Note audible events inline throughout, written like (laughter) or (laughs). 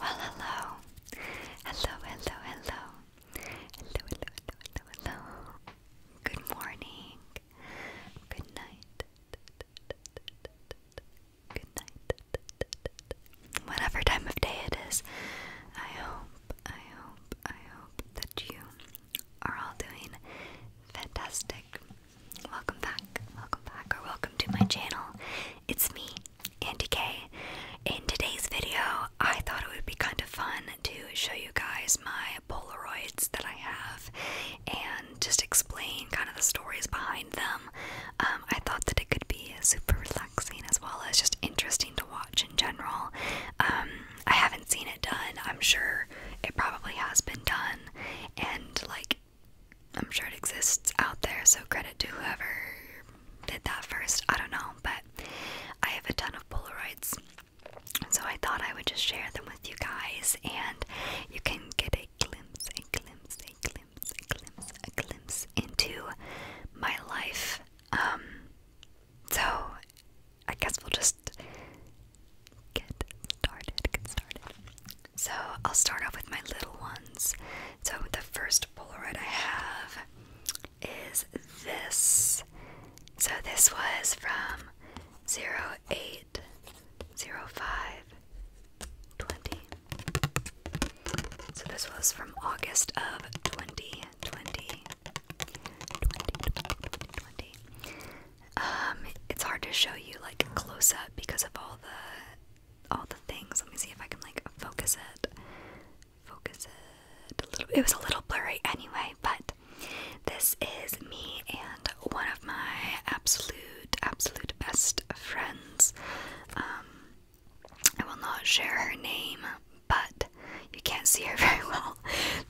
Well, hello. Hello, hello, hello. Hello, hello, hello, hello, Good morning. Good night. Good night. Whatever time of day it is, I hope, I hope, I hope that you are all doing fantastic. Welcome back, welcome back, or welcome to my channel. It's me, and decay. In today's video, I thought it would be kind of fun to show you guys my Polaroids that I have and just explain kind of the stories behind them. Um, I thought that it could be super relaxing as well as just interesting to watch in general. Um, I haven't seen it done, I'm sure it probably has been done, and like I'm sure it exists out there, so credit to whoever did that first. I don't know, but I have a ton of Polaroids, so I thought I would just share them with you guys, and you can get a glimpse, a glimpse, a glimpse, a glimpse, a glimpse into my life. Um, so I guess we'll just get started. Get started. So I'll start off with my little ones. So the first Polaroid I have is this. So this was from 08 05 So this was from August of 2020. Um, it's hard to show you like close up because of all the all the things. Let me see if I can like focus it. Focus it It was a little blurry anyway, but this is me and one of my absolute, absolute best friends. Um, I will not share her name, but you can't see her (laughs) very well.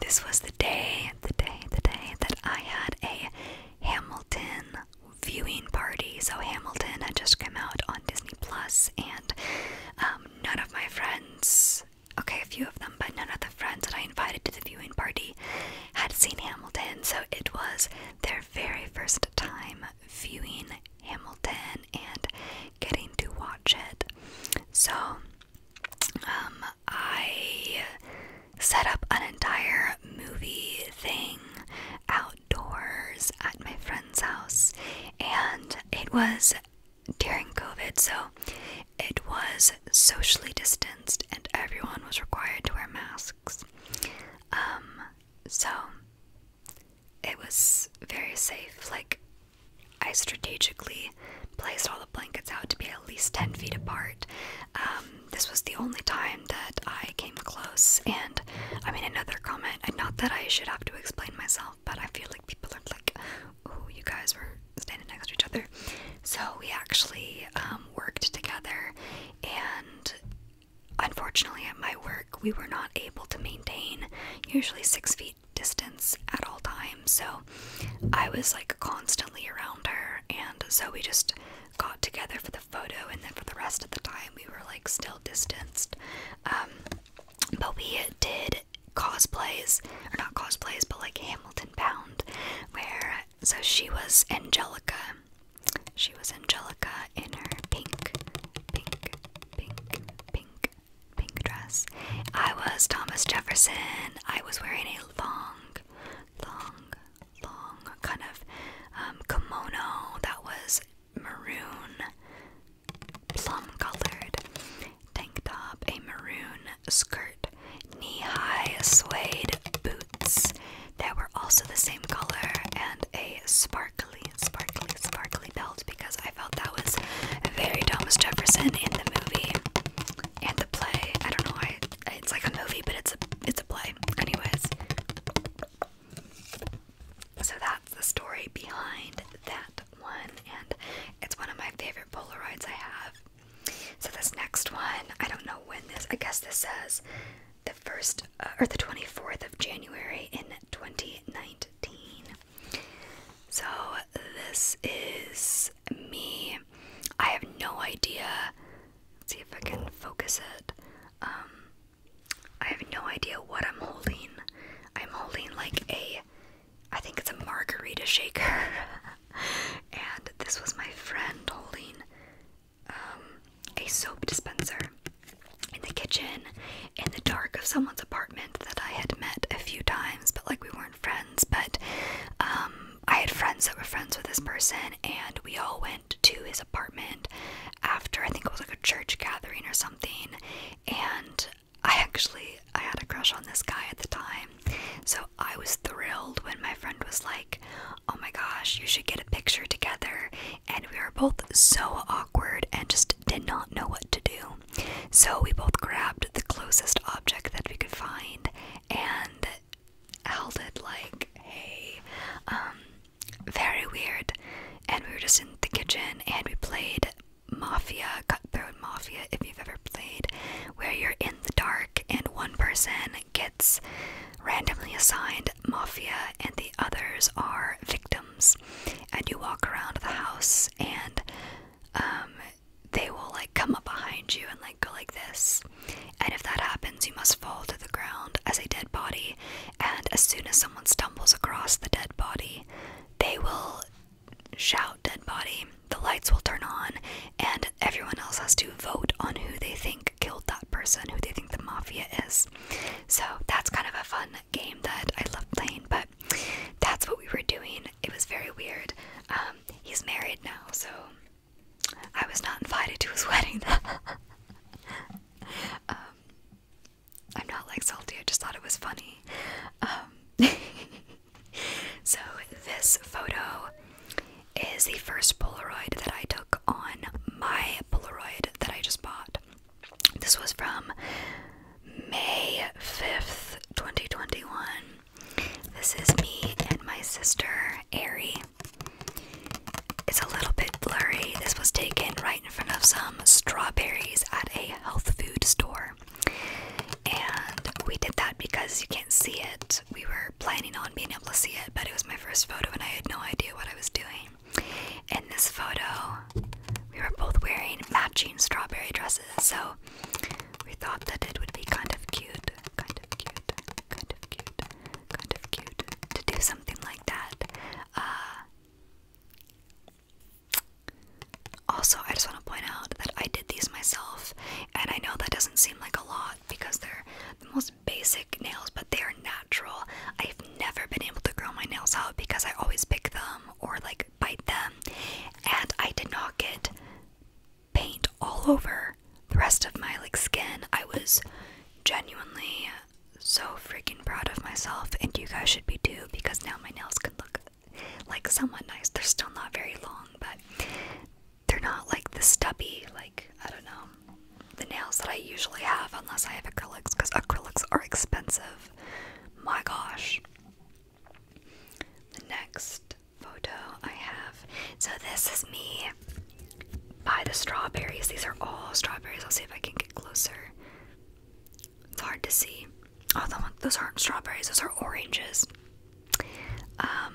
This was the day, the day, the day that I had a Hamilton viewing party. So Hamilton had just come out on Disney Plus, and um, none of my friends, okay, a few of them, but none of the friends that I invited to the viewing party had seen Hamilton. So it was their very first time viewing Hamilton and getting to watch it. So um, I set up an entire movie thing out Doors at my friend's house, and it was during COVID, so it was socially distanced, and everyone was required to wear masks. Um, so it was very safe. Like, I strategically placed all the blankets out to be at least 10 feet apart. Um, this was the only time that I came close. And I mean, another comment, and not that I should have to explain myself, but I feel like people are like, oh, you guys were standing next to each other. So we actually um, worked together, and unfortunately, at my work, we were not able to maintain usually six feet distance at all times. So I was like constantly around her, and so we just got together for the photo, and then for the rest of the time, we were like still distanced. Um, but we did cosplays, or not cosplays, but like Hamilton Bound, where so she was Angelica. She was Angelica in her pink, pink, pink, pink, pink dress. I was Thomas Jefferson. I was wearing a long, long, long kind of um, kimono that was maroon plum colored tank top, a maroon skirt, knee high suede boots that were also the same color, and a sparkly, sparkly, sparkly belt because I felt that was very Thomas Jefferson in the movie and the play. I don't know why it's like a movie, but it's a it's a play. Anyways, so that's the story behind that one, and it's one of my favorite Polaroids I have. So this next one, I don't know when this. I guess this says the first uh, or the twenty fourth of January in twenty nineteen. So this is me. I have no idea. Let's see if I can focus it. Um, I have no idea what I'm holding. I'm holding like a, I think it's a margarita shaker. (laughs) and this was my friend holding um, a soap dispenser in the kitchen in the dark of someone's apartment that I had met a few times, but like we weren't friends. But um, I had friends that were friends with this person, and we all went to his apartment after I think it was like a church gathering or something, and I actually I had a crush on this guy at the time. So I was thrilled when my friend was like, "Oh my gosh, you should get a picture together." And we were both so awkward and just did not know what to do. So we both grabbed the closest object that we could find and held it like, "Hey, um, very weird. And we were just in the kitchen and we played Mafia, Cutthroat Mafia, if you've ever played, where you're in the dark and one person gets randomly assigned Mafia and the others are victims. And you walk around the house and um, they will like come up behind you and like go like this. And if that happens, you must fall to the ground as a dead body and as soon as someone stumbles across the dead body, they will shout dead body, the lights will turn on, and everyone else has to vote on who they think killed that person, who they think the mafia is. So that's kind of a fun game that I love playing, but that's what we were doing. It was very weird. Um, he's married now, so I was not invited to his (laughs) wedding. (laughs) Um, I'm not like salty, I just thought it was funny. Um, (laughs) so, this photo is the first Polaroid that I took on my Polaroid that I just bought. This was from May 5th, 2021. This is me and my sister, Ari. It's a little bit blurry. This was taken right in front of some strawberries at a health food store. And we did that because you can't see it. We were planning on being able to see it, but it was my first photo and I had no idea what I was doing. In this photo, we were both wearing matching strawberry dresses, so we thought that it would be kind of cute. Kind of cute. Kind of cute kind of cute to do something like that. Uh, also, I just want to point out that I did these myself, and I know that doesn't seem like a lot because they're the most basic nails, but they are natural. I've never been able to grow my nails out because I always pick them or like bite them, and I did not get paint all over the rest of my like skin. I was genuinely so freaking proud of myself, and you guys should be too, because now my nails can look like somewhat nice. They're still not very long, but they're not like the stubby, like I don't know, the nails that I usually have, unless I have acrylics, because acrylics are expensive. My gosh. The next photo I have. So, this is me me buy the strawberries. These are all strawberries. I'll see if I can get closer. It's hard to see. Oh, those aren't strawberries, those are oranges. Um,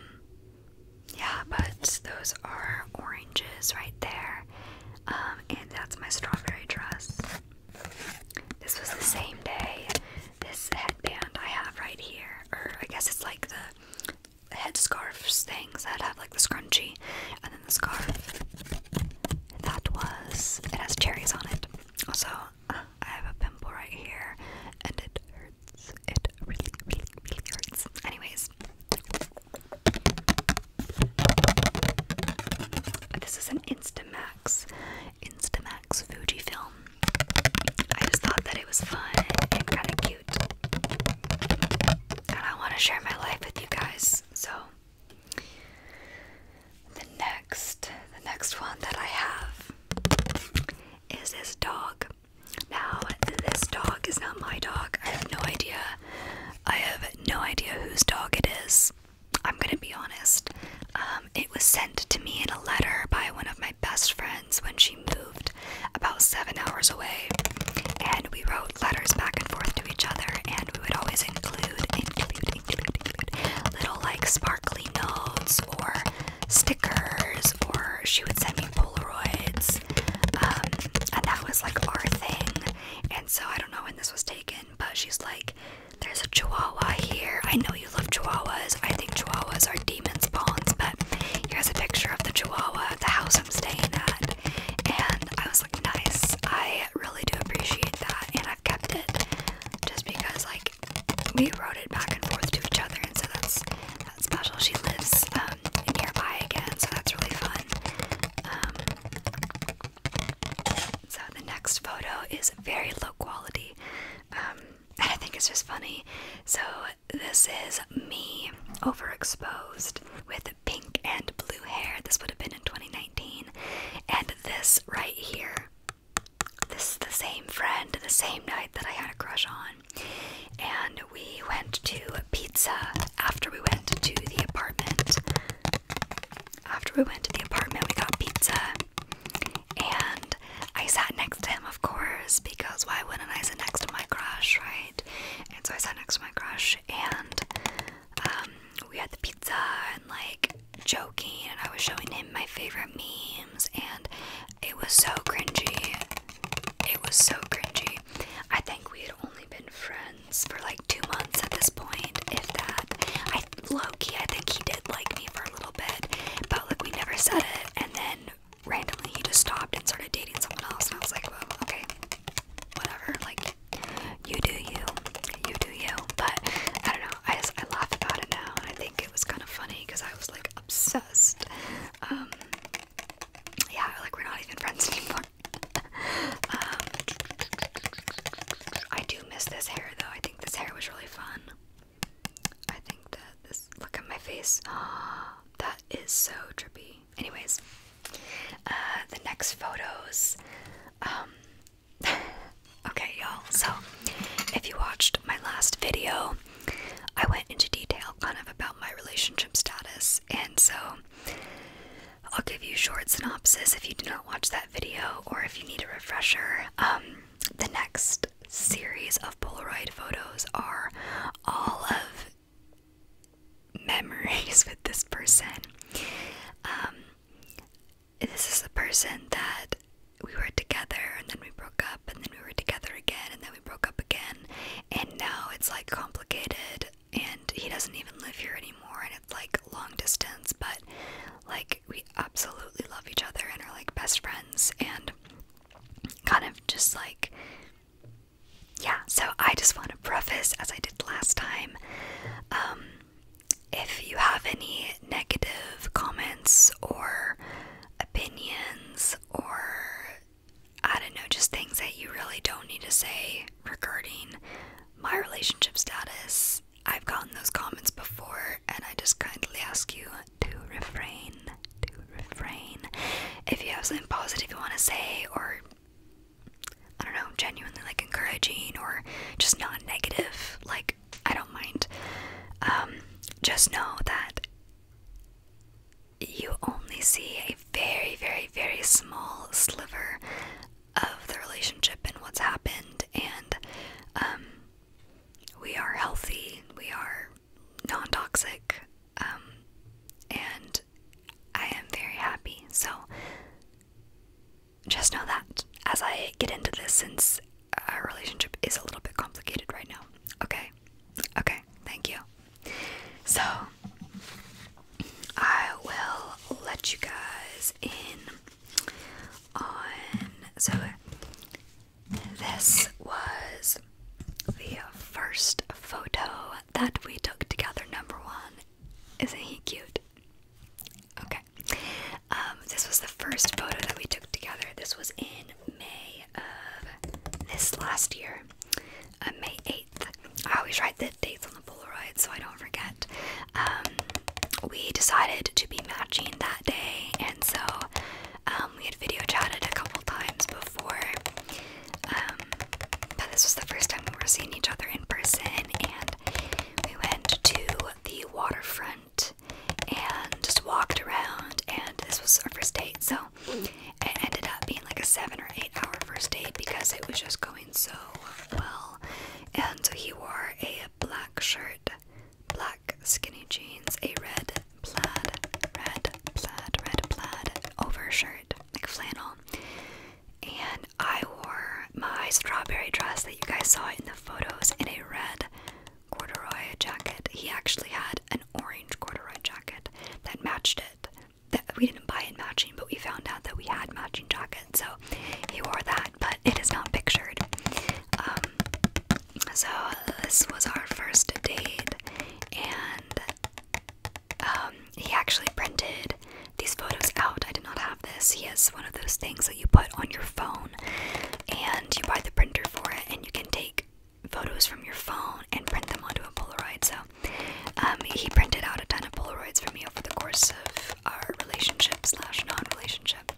yeah, but those are oranges right there. Um, and that's my strawberry dress. This was the same day. This headband I have right here, or I guess it's like the headscarves things that have like the scrunchie and then the scarf. That was it has cherries on it. Also, uh, I have a pimple right here and it hurts. It really, really, really hurts. Anyways, this is an Instamax, Instamax Fujifilm. I just thought that it was fun and kind of and I want to share my life with you guys. So the next the next one that I have is this dog. Now this dog is not my dog. I have no idea. I have no idea whose dog it is. I'm gonna be honest. Um, it was sent to me in a letter by one of my best friends when she moved about seven hours away, and we wrote letters back and forth to each other, and we would always include, little like sparkly notes or stickers, or she would send me Polaroids, um, and that was like our thing. And so I don't know when this was taken, but she's like, "There's a Chihuahua here. I know you love Chihuahuas. I think Chihuahuas are demons' spawns, but here's a picture of the Chihuahua at the house I'm staying at." and I was like, nice. I really do appreciate that, and I've kept it just because like we wrote it back and forth to each other, and so that's that's special. She lives um, nearby again, so that's really fun. Um, so the next photo is very low quality. Um, (laughs) I think it's just funny. So this is me overexposed with pink and blue hair. This would have been in 2019. And this right here, this is the same friend, the same night that I had a crush on. And we went to pizza after we went to the apartment. After we went to the apartment, we got pizza. And I sat next to him, of course, because why wouldn't I sit next to my crush, right? And so I sat next to my crush and um, we had the pizza and like joking and I was showing him my favorite memes and it was so cringy. It was so cringy. I think we had only been friends for like two months at this point, if that. I low-key I think he did like me for a little bit, but like we never said it and then randomly he just stopped and started dating someone else and I was like, well, okay whatever. Like you do you, you do you. But I don't know. I I laugh about it now, and I think it was kind of funny because I was like obsessed. Um, yeah, like we're not even friends (laughs) anymore. Um, I do miss this hair though. I think this hair was really fun. I think that this look at my face. Oh, (gasps) that is so trippy. Anyways, uh, the next photos. Um, (laughs) okay, y'all. So, if you watched my last video, I went into detail kind of about my relationship status, and so I'll give you a short synopsis if you did not watch that video or if you need a refresher. Um, the next series of Polaroid photos are all of memories (laughs) with this person. Um, this is the person that we were together and then we broke up and then we were together again and then we broke up again and now it's like complicated and he doesn't even live here anymore and it's like long distance but like we absolutely love each other and are like best friends and kind of just like yeah, so I just want to preface, as I did last time, um, if you have any negative comments or opinions or I don't know, just things that you really don't need to say regarding my relationship status. I've gotten those comments before, and I just kindly ask you to refrain. To refrain. If you have something positive you want to say, or I don't know, genuinely like encouraging or just non negative, like I don't mind. Um, just know that you only see a very, very, very small sliver of the relationship and what's happened, and um, we are healthy, we are non toxic, um, and I am very happy. So just know that as I get into this, since our relationship is a little bit complicated right now. Okay, okay, thank you. So I will let you guys in on. So this was the first photo that we took together, number one. Isn't he cute? Okay. Um, this was the first photo that we took together. This was in May of this last year, uh, May 8th. I always write the dates on the Polaroid so I don't forget. Um, we decided to be matching that day, and so um, we had video chatted a couple times before. Um, but this was the first time we were seeing each other in person, and we went to the waterfront and just walked around. And this was our first date, so it ended up being like a seven or eight hour first date because it was just going so well. And he wore a black shirt, black skinny jeans, a red plaid, red plaid, red plaid overshirt, like flannel and I wore my strawberry dress that you guys saw in the photos in a red corduroy jacket. He actually had an orange corduroy jacket that matched it. That we didn't buy in matching, but we found out that we had matching jackets, so he wore that, but it is not pictured. Um, so this was our first date, and um, he actually printed these photos out. I did not have this. He has one of those things that you put on your phone and you buy the printer for it, and you can take photos from your phone and print them onto a Polaroid. So um, he printed out a ton of Polaroids for me over the course of our relationship slash non-relationship.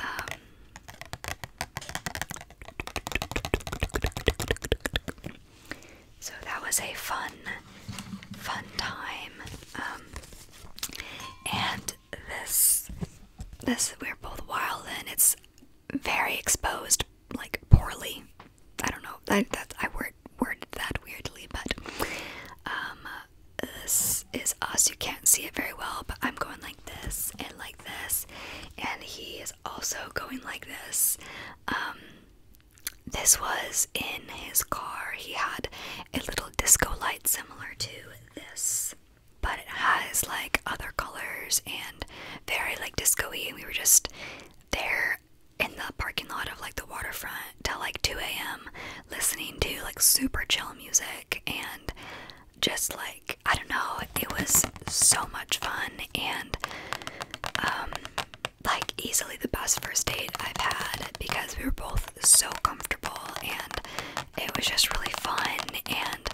Um, so that was a fun, fun time. Um, and this, this we're both wild and it's very exposed, like poorly. I don't know. I, that I word worded that weirdly, but um, this is us. You can't see it very well, but I'm going like this and like this, and he is also going like this. Um, this was in his car. He had a little disco light similar to this, but it has like other colors and very like disco And we were just there in the parking lot of like the waterfront till like 2 a.m. listening to like super chill music and just like I don't know, it was so much fun and um, like easily the best first date I've had because we were both so comfortable and it was just really fun. And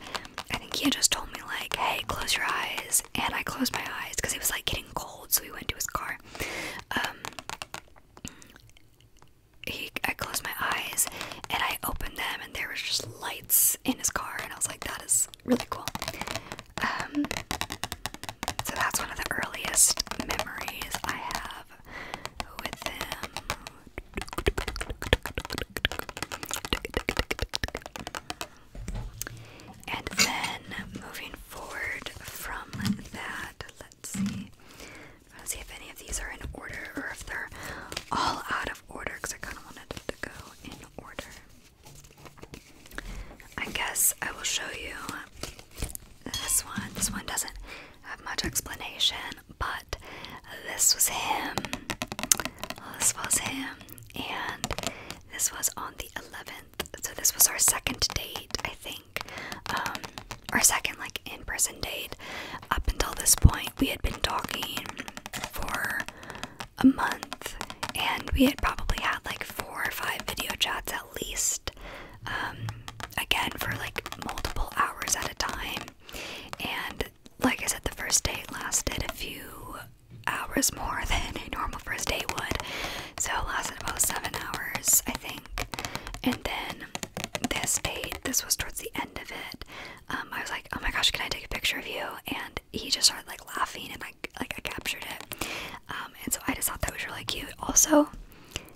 I think he just told me, like, hey, close your eyes. And I closed my eyes because it was like getting cold, so we went to his car. Um, he, I closed my eyes and I opened them, and there was just lights in his car, and I was like, that is really cool. Um, so that's one of the earliest memories I have with them. And then moving forward from that, let's see. Let's see if any of these are in order or if they're all out of order because I kind of wanted to go in order. I guess I will show you this one. This one doesn't have much explanation, but this was him. This was him, and this was on the 11th. So, this was our second date, I think. Um, our second, like, in person date. Up until this point, we had been talking for a month, and we had probably had like four or five video chats at least, um, again, for like multiple hours at a time. And like I said, the first date lasted a few hours more (laughs) than a normal first date would, so it lasted about seven hours, I think. And then this date, this was towards the end of it. Um, I was like, "Oh my gosh, can I take a picture of you?" And he just started like laughing and I like I captured it. Um, and so I just thought that was really cute. Also,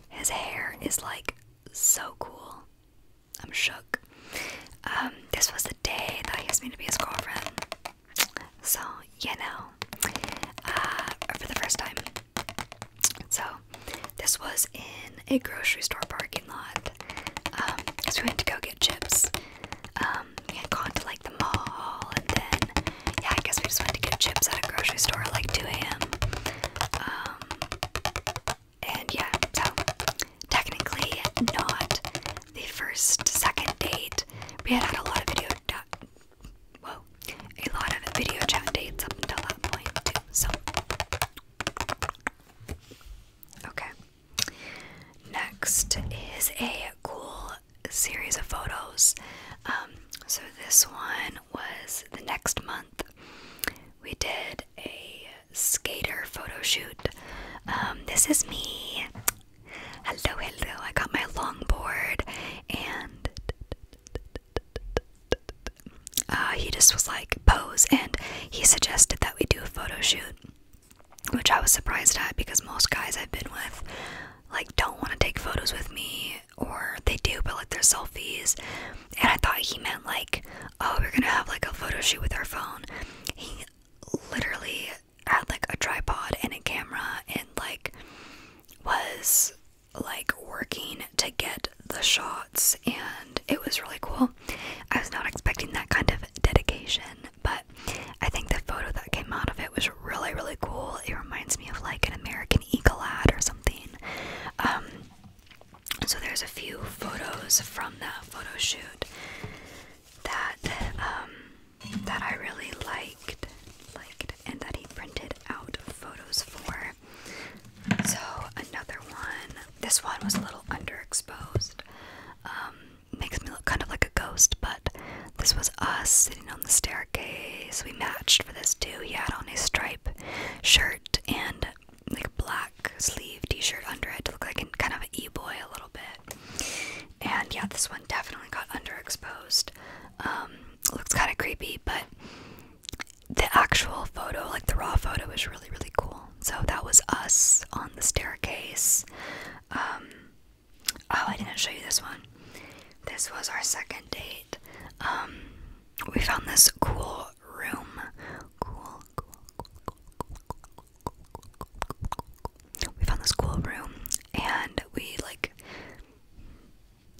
his hair is like so cool. I'm shook. Um, this was the day that he asked me to be his girlfriend. So, you know, uh, for the first time. So, this was in a grocery store parking lot. Um, so we went to go get chips. Um, we had gone to like the mall, and then yeah, I guess we just went to get chips at a grocery store at like 2 a.m. Um, and yeah, so technically not the first second date. We had had a lot of video, whoa, a lot of video chat dates up until that point too. So okay. Next is a cool series of photos. Um, so this one was the next month. We did a skater photo shoot. Um, this is me. Hello, hello. I got my longboard and uh, he just was like, pose. And he suggested that we do a photo shoot, which I was surprised at because most guys I've been with like don't want to take photos with me or they do but like they're selfies and i thought he meant like oh we're gonna have like a photo shoot with our phone he literally had like a tripod and a camera and like was like working to get the shots and it was really cool i was not expecting that kind of dedication but I think the photo that came out of it was really, really cool. It reminds me of like an American Eagle ad or something. Um, so there's a few photos from that photo shoot that um, that I really liked, liked, and that he printed out photos for. So another one. This one was a little underexposed. Um, makes me look kind of like a ghost, but this was us sitting on the staircase. We matched for this too. He had on a stripe shirt and like a black sleeve t-shirt under it to look like an, kind of an e-boy a little bit. And yeah, this one definitely got underexposed. Um, looks kind of creepy, but the actual photo, like the raw photo, is really really cool. So that was us on the staircase. Um, Oh, I didn't show you this one. This was our second date. Um, we found this cool room. Cool, cool, cool, cool, cool, cool, cool, cool. We found this cool room, and we like.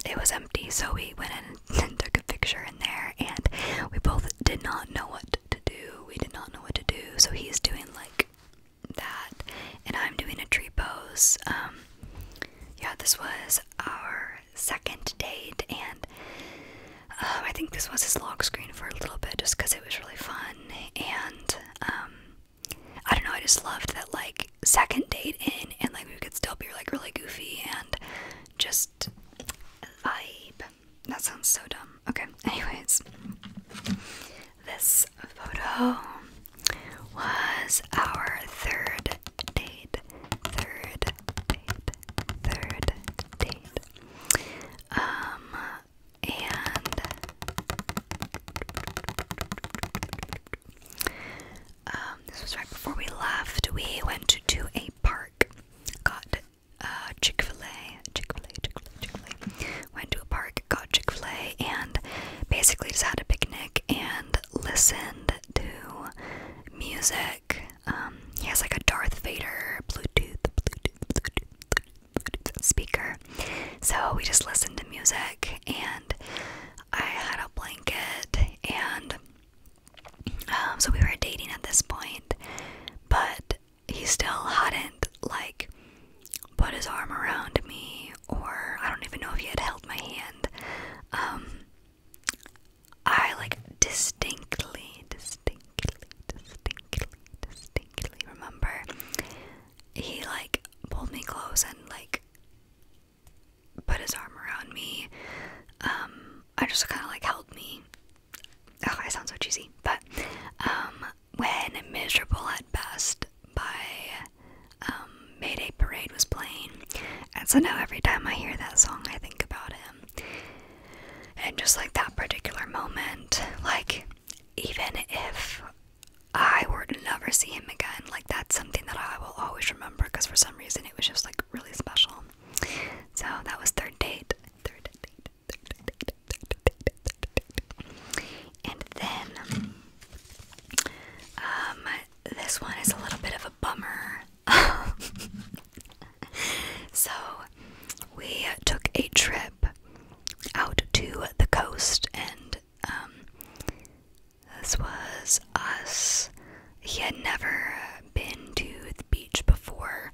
It was empty, so we went in and took a picture in there, and we both did not know what to do. We did not know what to do, so he's doing like that, and I'm doing a tree pose. Um, yeah, this was our second date, and um, I think this was his log screen for a little bit just because it was really fun. And um, I don't know, I just loved that like second date in, and like we could still be like really goofy and just vibe. That sounds so dumb. Okay, (laughs) anyways. This photo was our third date. Third date. Third date. Um, and um, this was right before we left. We went to, to a park, got uh, Chick fil A, Chick fil A, Chick fil A, Chick fil A, went to a park, got Chick fil A, and basically just had a picnic and listened to music. Um, he has like a Darth Vader Bluetooth, speaker. So we just listened to music, and I had a blanket, and um, so we were dating at this point, but he still hadn't like put his arm around me, or I don't even know if he had held my hand. Um, I like distinctly, distinctly, distinctly, distinctly remember he like pulled me close and like put his arm around me. Um, I just kind of like held me. Oh, I sound so cheesy, but um, when miserable at best by um, Mayday Parade was playing. And so now every time I hear that song, I think about him. And just like that particular moment, like even if I were to never see him again, like that's something that I will always remember because for some reason it was just like really special. So that was third date. Third date. Third date. Third date. And then um, this one is a little bit of a bummer. (laughs) so, we took a trip out to the coast, and um, this was us. He had never been to the beach before,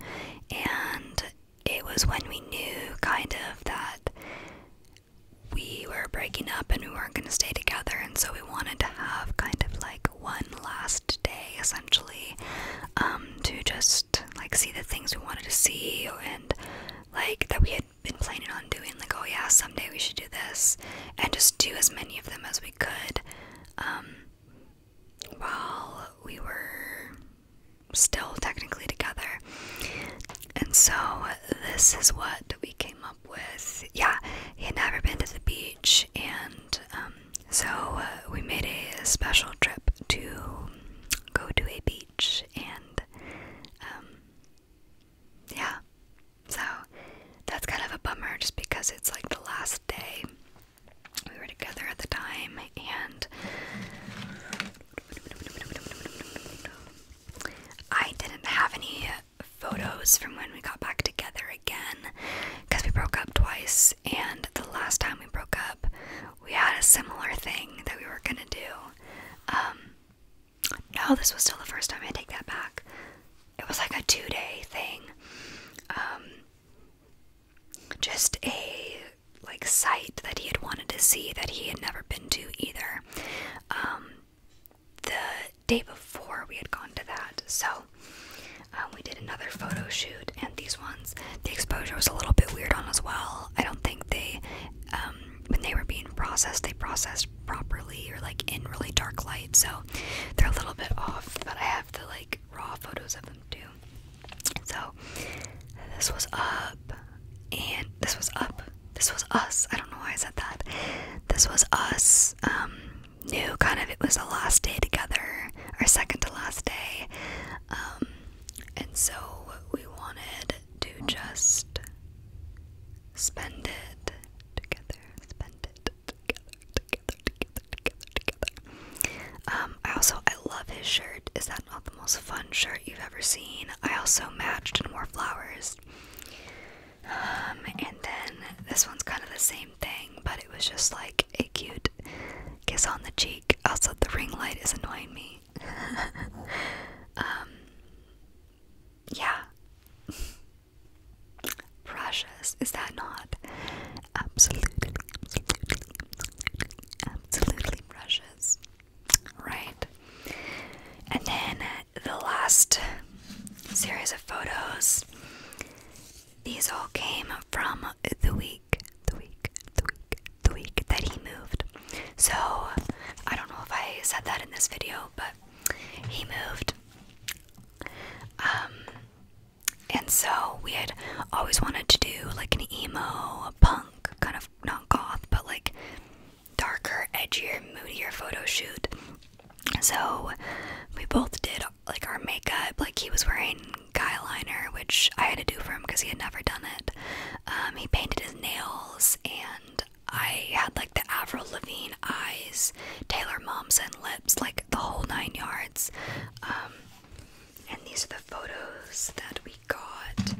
and it was when we knew kind of that we were breaking up and we weren't going to stay together, and so we wanted to have kind of like one last day essentially um, to just like see the things we wanted to see and like that we had been planning on doing, like, oh yeah, someday we should do this, and just do as many of them as we could um, while we were still technically together. And so this is what we came up with. Yeah, he had never been to the beach, and um, so uh, we made a special trip to go to a beach, and um, yeah. So that's kind of a bummer just because it's like the last day. We were together at the time, and I didn't have any photos from when we got back together again because we broke up twice, and the last time we broke up, we had a similar thing that we were gonna do. Um, no, this was still the first time I take that back. It was like a two day thing. Um, just a like site that he had wanted to see that he had never been to either. Um, the day before we had gone to that, so um, we did another photo shoot, and these ones, the exposure was a little bit weird on as well. I don't think they, um, when they were being processed, they processed properly or like in really dark light, so they're a little bit off. But I have the like raw photos of them too. So this was up and this was up. This was us. I don't know why I said that. This was us. Um, knew kind of it was the last day together, our second to last day. Um, and so we wanted to just spend it together, spend it together, together, together, together, together. Um, I also I love his shirt. Is that not the the most fun shirt you've ever seen. I also matched and wore flowers. Um, and then this one's kind of the same thing, but it was just like a cute kiss on the cheek. Also, the ring light is annoying me. (laughs) um, yeah. (laughs) Precious, is that not? Absolutely, absolutely, absolutely precious right? And then the last series of photos. These all came from the week, the week, the week, the week that he moved. So I don't know if I said that in this video, but he moved. Um, and so we had always wanted to do like an emo, a punk kind of not goth, but like darker, edgier, moodier photo shoot. So we both did like our makeup. Like he was wearing guy liner, which I had to do for him because he had never done it. Um, he painted his nails, and I had like the Avril Lavigne eyes, Taylor Momsen lips, like the whole nine yards. Um, and these are the photos that we got.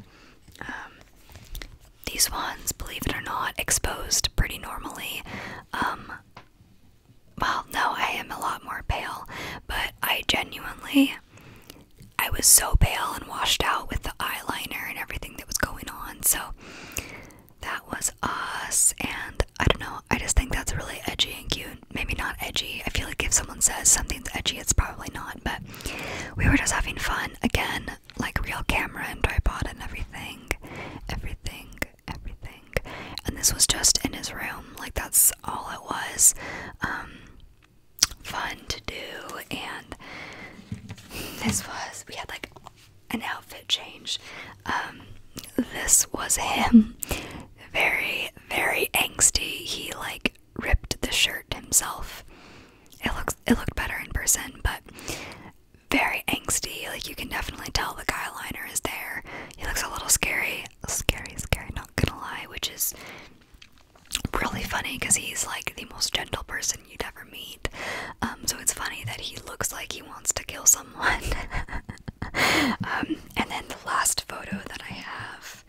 Um, these ones, believe it or not, exposed pretty normally. Um, well, no, I am a lot more pale, but I genuinely, I was so pale and washed out with the eyeliner and everything that was going on. So that was us, and I don't know, I just think that's really edgy and cute. Maybe not edgy. I feel like if someone says something's edgy, it's probably not, but we were just having fun again like real camera and tripod and everything. Everything, everything. And this was just in his room. Like that's all it was. Um fun to do and this was we had like an outfit change. Um this was him. Very, very angsty. He like ripped the shirt himself it looks it looked better in person, but very angsty. Like you can definitely tell the guy liner is there. He looks a little scary, scary, scary. Not gonna lie, which is really funny because he's like the most gentle person you'd ever meet. Um, so it's funny that he looks like he wants to kill someone. (laughs) Um, and then the last photo that I have,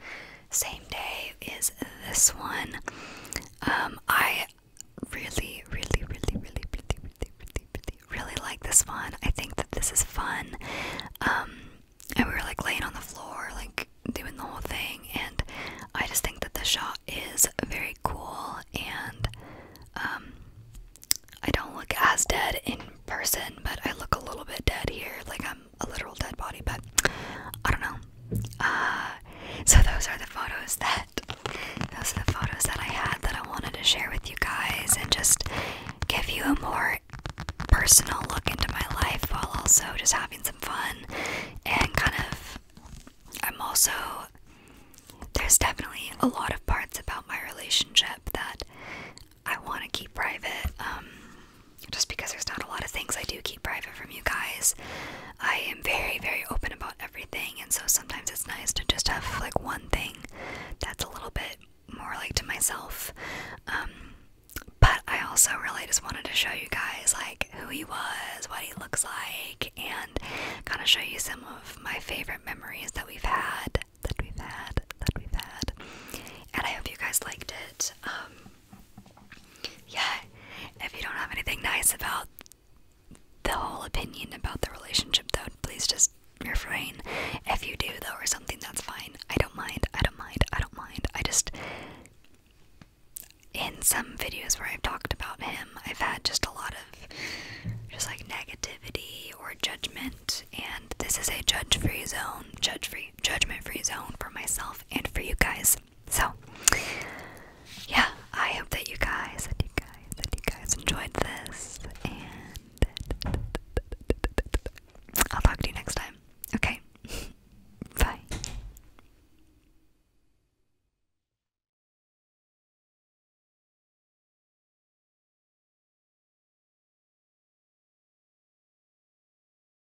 same day, is this one. Um, I really, really, really, really, really, really, really, really, really like this one. I think that this is fun. Um, and we were like laying on the floor, like doing the whole thing, and I just think that the shot is very cool. And um, I don't look as dead in person, but I look a little bit dead here, like I'm a literal dead body. But I don't know. Uh, so those are the photos that those are the photos that I had that I wanted to share with you guys and just give you a more personal look into my life while also just having some fun and kind of I'm also there's definitely a lot of parts about my relationship that I want to keep private um, just because there's not a lot of things I do keep private from you guys. I am very, very open about everything, and so sometimes it's nice to just have like one thing that's a little bit more like to myself. Um, but I also really just wanted to show you guys like who he was, what he looks like, and kind of show you some of my favorite memories that we've had, that we've had, that we've had. And I hope you guys liked it. Um, yeah, if you don't have anything nice about the whole opinion about the relationship, though, please just refrain. If you do, though, or something, that's fine. I don't mind, I don't mind, I don't mind. I just. In some videos where I've talked about him, I've had just a lot of just like negativity or judgment, and this is a judge free zone, judge free, judgment free zone for myself and for you guys. So, yeah, I hope that you guys, you guys, you guys enjoyed this, and I'll talk to you next time. Okay, (laughs) bye.